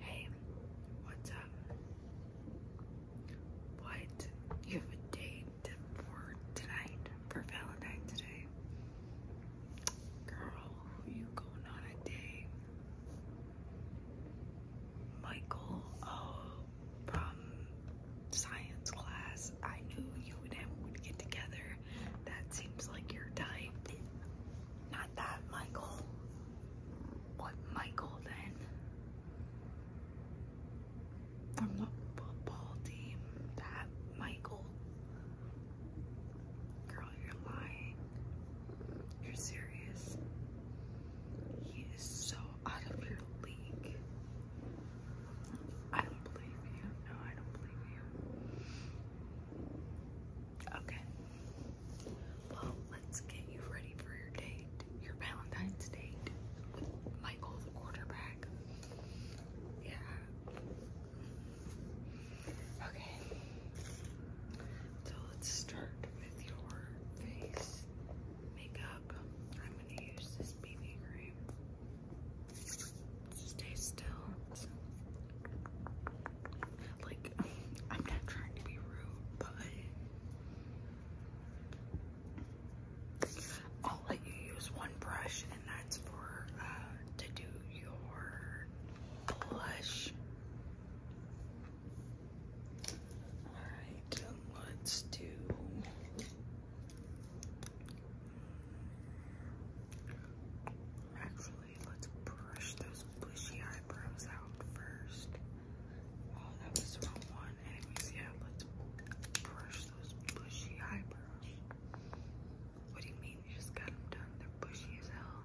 Hey, what's up? What? You have a date for tonight? For Valentine's Day? Girl, who you going on a date? Michael, oh, from science class. I knew you and him would get together. That seems like your type that Michael. What Michael then? From the football team, that Michael. Girl, you're lying. You're serious. He is so out of your league. I don't believe you. No, I don't believe you. Okay. Well, let's get you ready for your date, your Valentine's date with Michael the quarterback. Yeah. Okay. So let's start with your face makeup. I'm going to use this BB cream stay still. Like, I'm not trying to be rude, but I'll let you use one brush, and that's for uh, to do your blush. Alright, let's do Actually, let's brush those bushy eyebrows out first. Oh, that was the one. Anyways, yeah, let's brush those bushy eyebrows. What do you mean you just got them done? They're bushy as hell.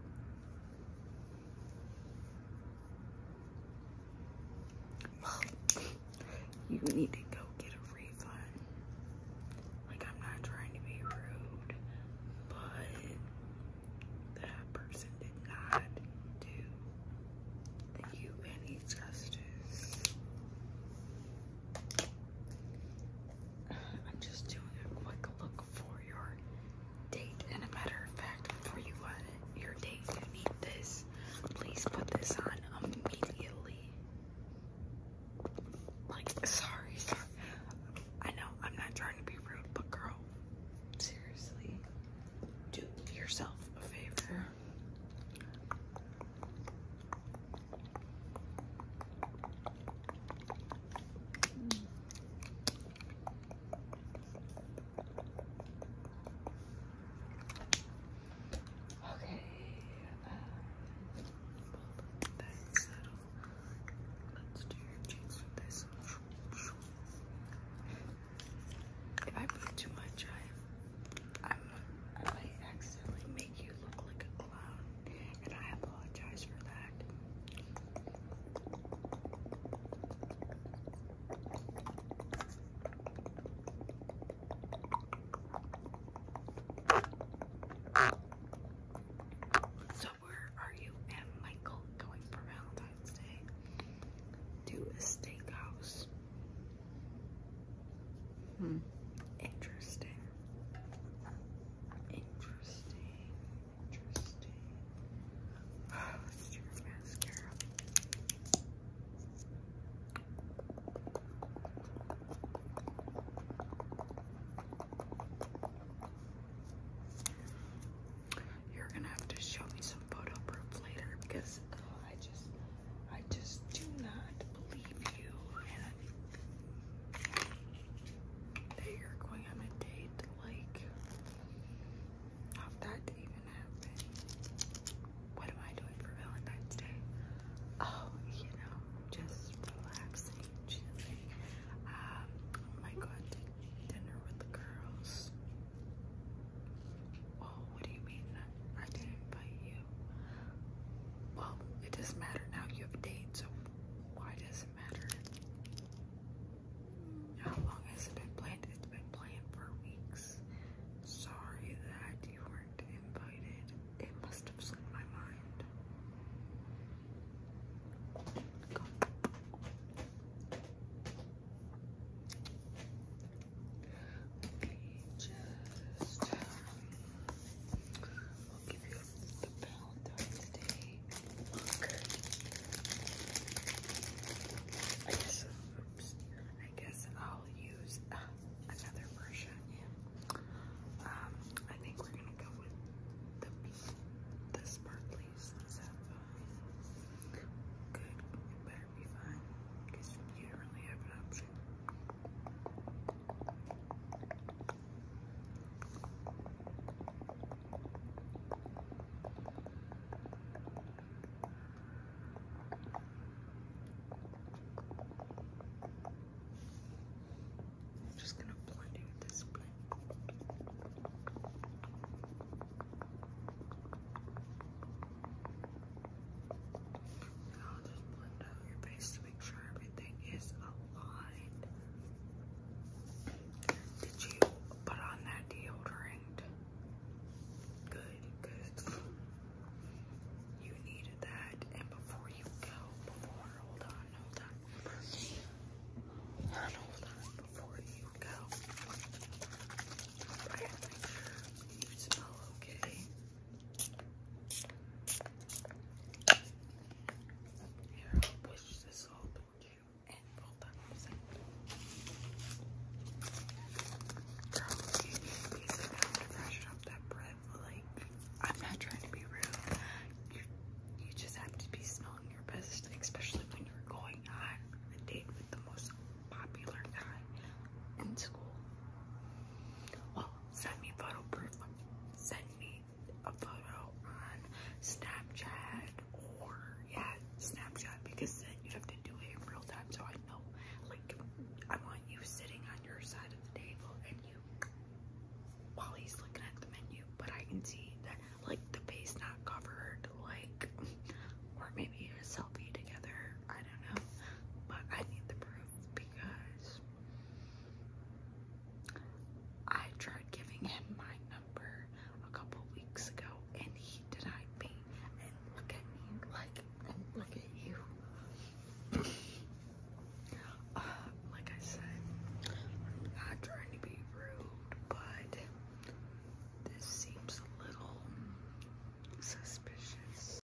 you need to go get a like, I'm not trying to be rude, but that person did not do you any justice. I'm just doing a quick look for your date, and a matter of fact, before you want your date, you need this. Please put this on immediately. Like, sorry, sorry. I know I'm not trying to be rude, but girl, seriously, do yourself a favor. Okay. that's um, settled. Let's do your cheeks with this. If I put too much, I, i I accidentally make you look like a clown, and I apologize for that. So where are you and Michael going for Valentine's Day? To a steakhouse. Hmm. Interesting. Interesting. Interesting. Oh, let's do your mascara. You're gonna have to show me some photo proof later because oh, I just, I just do not believe you. And that you're going on a date like how that even happened? What am I doing for Valentine's Day? Oh, you know, just relaxing, chilling. Um, I might go out to dinner with the girls. Oh, what do you mean? I didn't invite you. Well, it doesn't matter now. You have a date, so why does it matter? How long has it been planned? It's been planned for weeks. Sorry that you weren't invited. It must have slipped my mind. Go. Okay, just um, I'll give you the Valentine's Day Look. I guess, oops. I guess I'll use uh, another version. Um, I think we're gonna go with the the sparklies. Good. better be fine because you don't really have an option. I'm just going to blend it with this blend. I'll just blend out your face to make sure everything is aligned. Did you put on that deodorant? Good, good. You needed that. And before you go, before, hold on, hold on. Before you go, you smell okay. Here, push this open and roll that percent. Girl, you need a piece of to brush up that breath. Like, I'm not trying to be rude. You, you just have to be smelling your best, especially when you're going on a date with the most popular guy in school. Well, send me photo proof. Send me a photo on Snapchat or yeah, Snapchat because then you have to do it in real time. So I know, like, I want you sitting on your side of the table and you while he's looking at the menu, but I can see that like the face not covered, like, or maybe a selfie together. I don't know, but I need the proof because I tried giving him my number a couple weeks ago and he denied me. And look at me, like, and look at you. uh, like I said, I'm not trying to be rude, but this seems a little suspicious.